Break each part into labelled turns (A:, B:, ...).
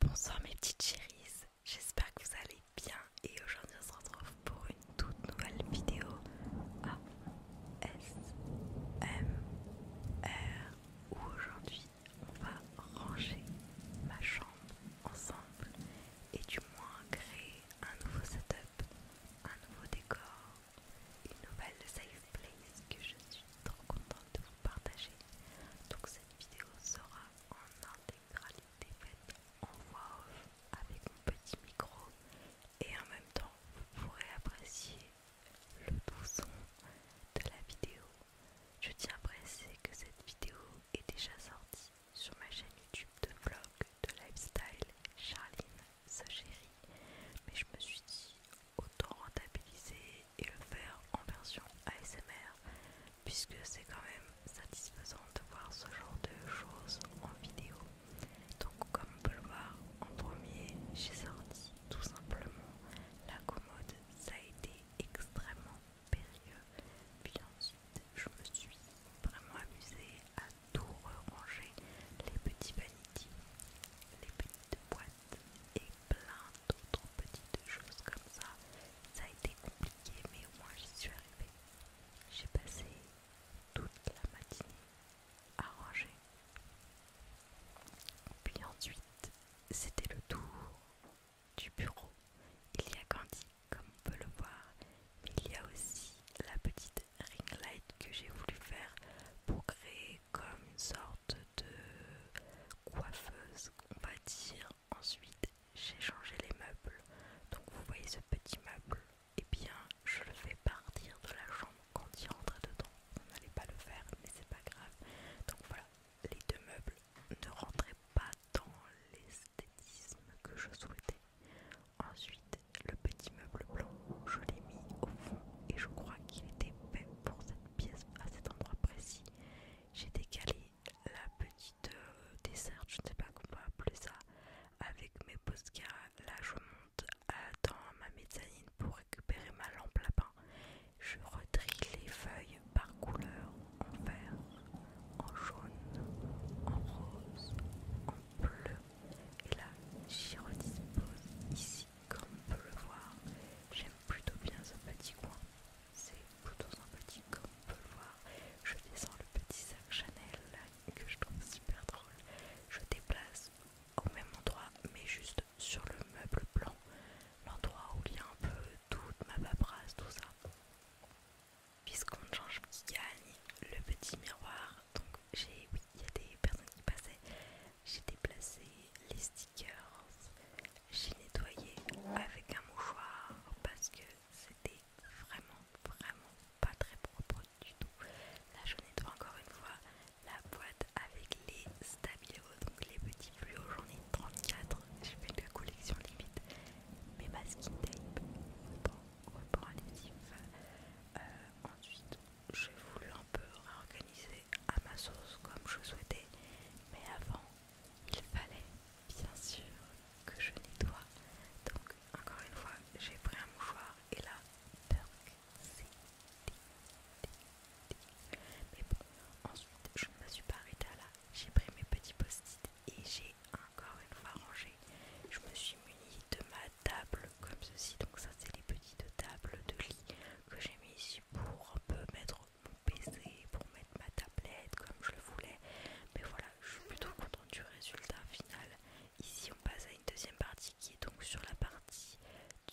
A: Bonsoir mes petites chéris j'espère que vous allez bien et aujourd'hui on se retrouve pour une toute nouvelle vidéo ASMR où aujourd'hui on va ranger ma chambre ensemble et du moins créer un nouveau setup, un nouveau décor, une nouvelle safe place que je suis trop contente de vous partager vidéo sera en intégralité faite en voix off avec mon petit micro et en même temps vous pourrez apprécier le bon son de la vidéo. Je tiens à préciser que cette vidéo est déjà sortie sur ma chaîne YouTube de vlog de lifestyle Charline chérie mais je me suis dit autant rentabiliser et le faire en version ASMR puisque c'est quand même satisfaisant de voir ce genre de choses en vidéo. Donc comme on peut le voir en premier, j'ai sorti tout simplement la commode. Ça a été extrêmement périlleux. Puis ensuite, je me suis vraiment amusée à tout ranger les petits vanity, les petites boîtes et plein d'autres petites choses comme ça. Ça a été compliqué, mais au moins j'y suis arrivée. J'ai passé toute la matinée à ranger. Puis ensuite, c'était le tour du bureau. Il y a Candy, comme on peut le voir, mais il y a aussi la petite ring light que j'ai voulu faire pour créer comme une sorte de coiffeuse, on va dire. Ensuite, j'ai changé les meubles. Donc vous voyez ce petit meuble et eh bien, je le fais partir de la chambre quand il rentrait dedans. On n'allait pas le faire, mais c'est pas grave. Donc voilà, les deux meubles ne rentraient pas dans l'esthétisme que je souhaitais. Ensuite, le petit meuble blanc, je l'ai mis au fond et je crois qu'il était pour cette pièce à cet endroit précis, j'ai décalé la petite desserte, euh, dessert, je ne sais pas comment appeler ça, avec mes postcards. Là, je monte dans ma mezzanine pour récupérer ma lampe lapin. Je redrille les feuilles par couleur en vert, en jaune, en rose, en bleu. Et là, j'y redispose ici comme on peut le voir, j'aime plutôt bien ce petit coin. C'est plutôt sympathique, comme on peut le voir. Je descends le petit sac Chanel que je trouve super drôle. Je déplace au même endroit, mais juste sur le meuble blanc, l'endroit où il y a un peu toute ma paperasse, tout ça. Puisqu'on change, petit gagne le petit miroir. Donc j'ai, oui, il y a des personnes qui passaient j'ai déplacé les stickers, j'ai nettoyé avec un mouchoir parce que c'était vraiment, vraiment pas très propre du tout. Là, je nettoie encore une fois la boîte avec les stabilos, donc les petits fluos, j'en ai 34, j'ai fait de la collection limite. Mais masking tape, bon, on adhésif. ensuite, j'ai voulu un peu réorganiser à ma sauce comme je souhaitais, mais avant il fallait bien sûr que je nettoie. Donc encore une fois, j'ai pris un mouchoir et là, c'est Mais bon, ensuite je ne me suis pas arrêtée là, j'ai pris mes petits post-it et j'ai encore une fois rangé je me suis munie de ma table comme ceci, donc ça c'est les petites tables de lit que j'ai mis ici pour un peu mettre mon PC, pour mettre ma tablette comme je le voulais. Mais voilà, je suis plutôt contente du résultat final. Ici on passe à une deuxième partie qui est donc sur la partie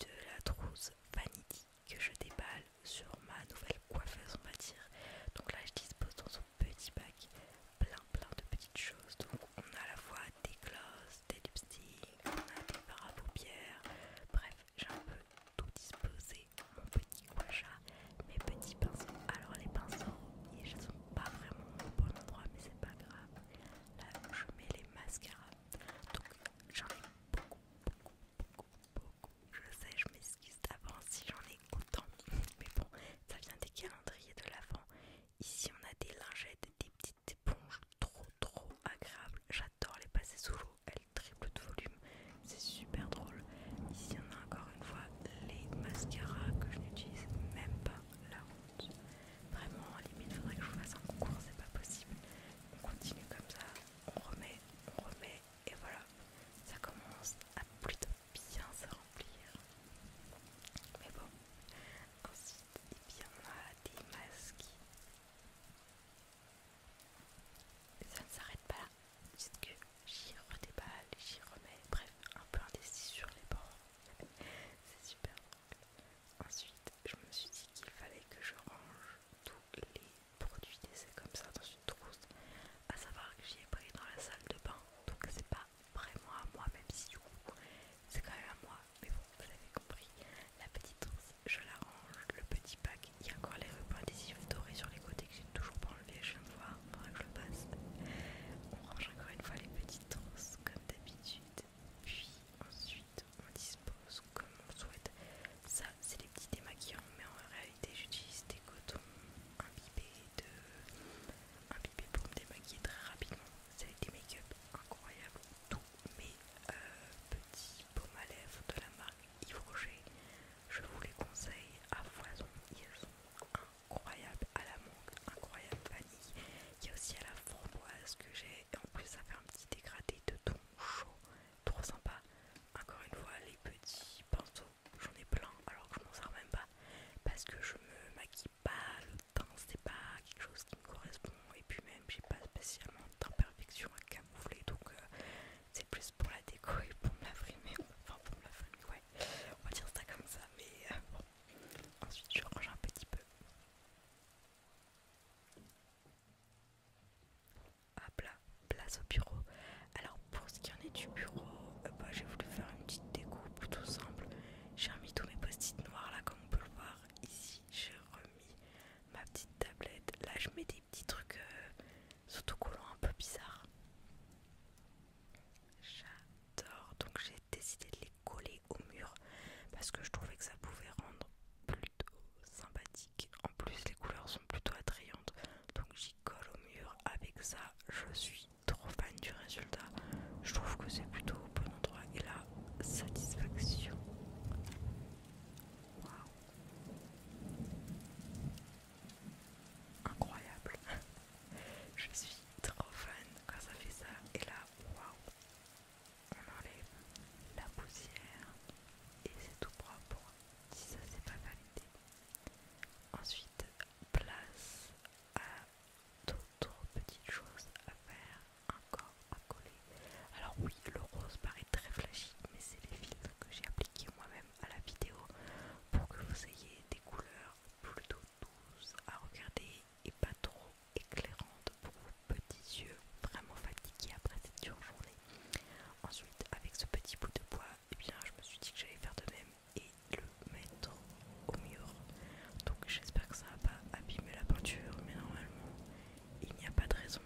A: de la trousse Vanity que je déballe sur ma nouvelle coiffeuse on va dire. Donc là je dispose dans un petit bac plein plein de petites choses. Donc on a à la fois des glosses, des lipsticks, on a des fards paupières. Bref, j'ai un peu tout disposé. Mon petit guacha, mes petits pinceaux. Alors les pinceaux, ils sont pas vraiment au bon endroit, mais c'est pas grave. Là, je mets les mascaras. Donc j'en ai beaucoup, beaucoup, beaucoup, beaucoup. Je sais, je m'excuse d'avance si j'en ai autant. Mais bon, ça vient des calendriers de l'avant Ici on a des lingettes, des petites éponges trop trop agréables. J'adore les passer sous l'eau, elles triplent de volume, c'est super drôle. Ici on a encore une fois les mascaras que je n'utilise même pas la honte. Vraiment, à limite faudrait que je vous fasse un concours, c'est pas possible. On continue comme ça, on remet, on remet, et voilà. Ça commence à plus tard bien se remplir. Mais bon, ensuite, il y en a des masques. Ça ne s'arrête pas là. que j'y redéballe, j'y remets, bref, un peu indécis sur les bords. C'est super drôle. Ensuite, je me suis dit qu'il fallait que je range tous les produits C'est comme ça dans une trousse. À savoir que j'y ai pris dans la salle de bain, donc c'est pas vraiment à moi, même si du coup c'est quand même à moi. Mais bon, vous avez compris. La petite trousse, je la range. Le petit pack, il y a encore les rubans adhésifs dorés sur les côtés que j'ai toujours pas enlevé. Je viens de voir, faudra que je le passe. On range encore une fois les petites trousses comme d'habitude. Puis ensuite, on dispose comme on souhaite. Ça, c'est les petits démaquillants, mais en réalité j'utilise des cotons imbibés, de... pour me démaquiller très rapidement. C'est des make-up incroyables. Tous mes euh, petits paumes à lèvres de la marque Yves Rocher, je vous les conseille à foison. Ils sont incroyables à la mangue, incroyable vanille. Il y a aussi à la framboise que j'ai. Et en plus, ça fait un petit dégradé de ton chaud. Trop sympa. Encore une fois, les petits pinceaux j'en ai plein alors que je m'en sers même pas parce que je me maquille pas, le teint c'est pas quelque chose qui me correspond et puis même j'ai pas spécialement perfection à camoufler donc euh, c'est plus pour la déco et pour me la frimer, enfin pour me la frimer ouais, on va dire ça comme ça mais euh, bon, ensuite je range un petit peu. à plat place au bureau. Alors pour ce qui en est du bureau, euh, bah, j'ai voulu faire une petite découpe plutôt simple. J'ai remis tous mes post-it noirs là comme on peut le voir. Ici j'ai remis ma petite tablette. Là je mets des petits trucs autocollants euh, un peu bizarres. J'adore. Donc j'ai décidé de les coller au mur parce que je trouvais que ça pouvait rendre plutôt sympathique. En plus les couleurs sont plutôt attrayantes. Donc qui au mur avec ça. Je suis trop fan du résultat. Je trouve que c'est plutôt au bon endroit et la satisfaction. Incroyable! Je suis trop fan quand ça fait ça et là, waouh! On enlève la poussière et c'est tout propre. Si ça c'est pas validé, Ensuite, place à d'autres petites choses à faire encore à coller. Alors oui, le rose paraît très flashy, mais c'est les filtres que j'ai appliqués moi-même à la vidéo pour que vous ayez des couleurs plutôt douces à regarder et pas trop éclairantes pour vos petits yeux vraiment fatigués après cette dure journée. Ensuite, avec ce petit bout de bois, et eh bien, je me suis dit que j'allais faire de même et le mettre au mur. Donc, j'espère que ça n'a pas abîmé la peinture, mais normalement, il n'y a pas de raison.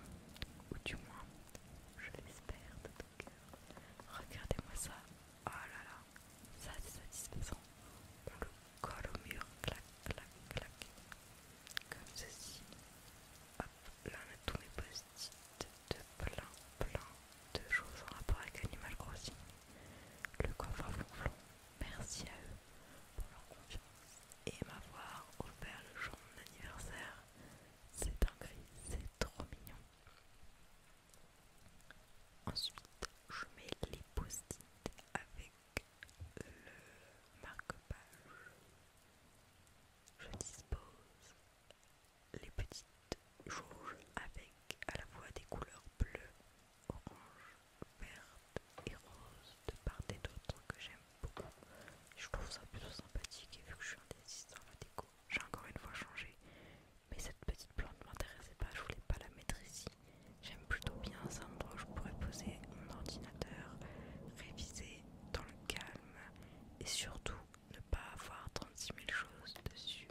A: Ou du moins, je l'espère de tout cœur. Regardez-moi ça. Oh là là, ça c'est satisfaisant. On le colle au mur, clac, clac, clac. Comme ceci là on a tous mes post-it de plein plein de choses en rapport avec Animal Crossing. Le coffre à merci à eux pour leur confiance et m'avoir offert le jour de mon anniversaire. C'est gris, c'est trop mignon. Ensuite, je mets les post-it avec le marque-page je dispose les petites jauges avec à la fois des couleurs bleues, orange, verte et rose de part et d'autre que j'aime beaucoup. Je trouve ça plutôt sympathique et vu que je suis un dans la déco, j'ai encore une fois changé. Mais cette petite plante ne m'intéressait pas, je voulais pas la mettre ici. J'aime plutôt bien un endroit où je pourrais poser mon ordinateur, réviser dans le calme et surtout ne pas avoir 36 000 choses dessus.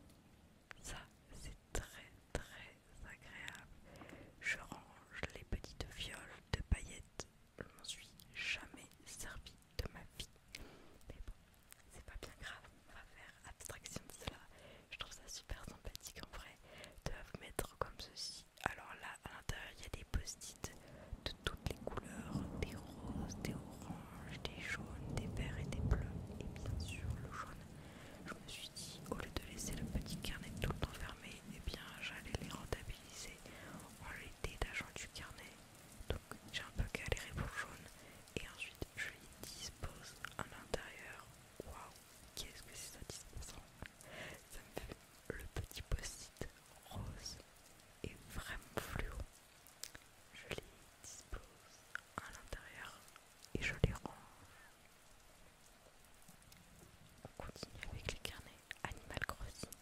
A: Ça, c'est très très agréable. Je range les petites fioles de paillettes. Je m'en suis jamais servi de ma vie. Mais bon, c'est pas bien grave. On va faire abstraction de cela. Je trouve ça super sympathique en vrai de mettre comme ceci alors là à l'intérieur il y a des post-it de toutes les couleurs, des roses, des oranges, des jaunes, des verts et des bleus et bien sûr le jaune. Je me suis dit au lieu de laisser le petit carnet tout le temps fermé, eh bien j'allais les rentabiliser en les détachant du carnet. Donc j'ai un peu galéré pour le jaune et ensuite je les dispose à l'intérieur. Waouh, qu'est-ce que c'est satisfaisant le petit post-it rose est vraiment fluo. Je les dispose à l'intérieur et je les range. On continue avec les carnets Animal Crossing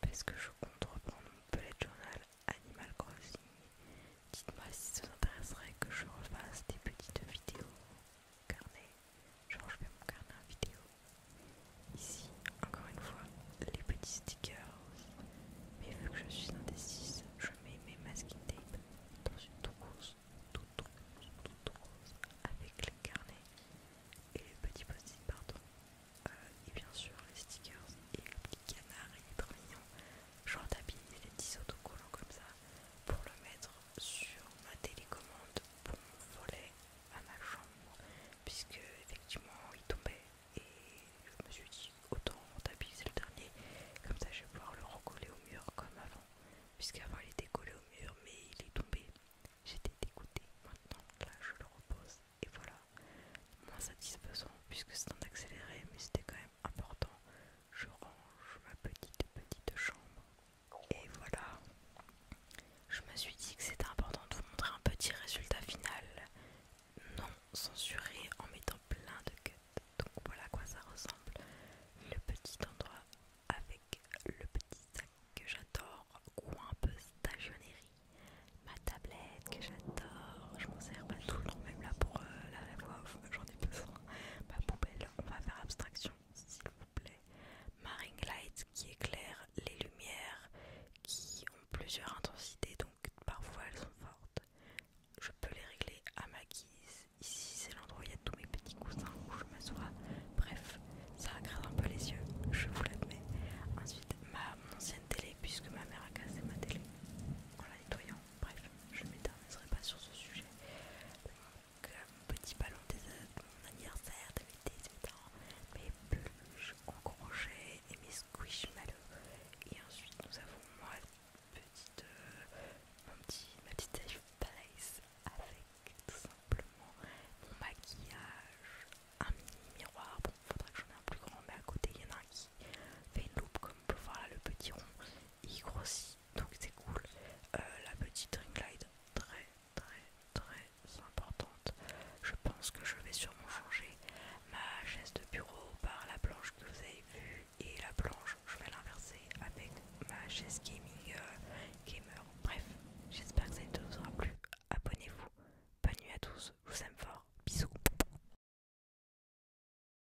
A: parce que je compte reprendre mon bullet journal Animal Crossing. Dites-moi si ça vous intéresserait que je refasse des petites vidéos carnet, genre je fais mon carnet en vidéo. Ici, encore une fois, les petits stickers. Mais vu que je suis indécise, je mets mes masking tape dans une toute toute rose, toute avec les carnets et les petits post-it, pardon. Euh, et bien sûr, les stickers et le petit canard, et est trop mignon. J'en tapis les petits autocollants comme ça pour le mettre sur ma télécommande bon volet à ma chambre puisque effectivement il tombait et je me suis dit autant rentabiliser le dernier comme ça je vais pouvoir le recoller au mur comme avant puisqu'avant il était collé au mur mais il est tombé j'étais dégoûtée maintenant là je le repose et voilà moins satisfaisant puisque c'est en accéléré mais c'était quand même important je range ma petite petite chambre. Et voilà, je me suis dit que c'était important de vous montrer un petit résultat final, non censuré en mettant plein de cut. Donc voilà à quoi ça ressemble, le petit endroit avec le petit sac que j'adore, ou un peu stagionnerie, ma tablette que j'adore, je m'en sers pas tout le temps, même là pour euh, la voix j'en ai besoin, ma poubelle, on va faire abstraction s'il vous plaît. Marine Light qui éclaire les lumières qui ont plusieurs intensités donc parfois elles sont fortes. Je peux les régler à ma guise. Ici c'est l'endroit où il y a tous mes petits cousins où je m'assois. Bref, ça agresse un peu les yeux, je vous l'admets. Ensuite, ma, ancienne télé puisque ma mère a cassé ma télé en la nettoyant. Bref, je ne m'éterniserai pas sur ce sujet mon petit ballon de mon anniversaire de mes 18 ans, mes peluches en crochet et mes squishmallows. Et ensuite, nous avons moi, petite, mon euh, petit, ma petite avec tout simplement mon maquillage, un mini miroir. Bon, il faudrait que j'en ai un plus grand, mais à côté, il y en a un qui fait une loupe comme voir là, le petit rond, il grossit donc c'est cool. Euh, la petite ring très très très importante. Je pense que je vais sûrement changer ma chaise de bureau par la planche que vous avez vue et la planche je vais l'inverser avec ma chaise gaming euh, gamer. Bref, j'espère que ça vous aura plu. Abonnez-vous. Bonne nuit à tous. Je vous aime fort. Bisous.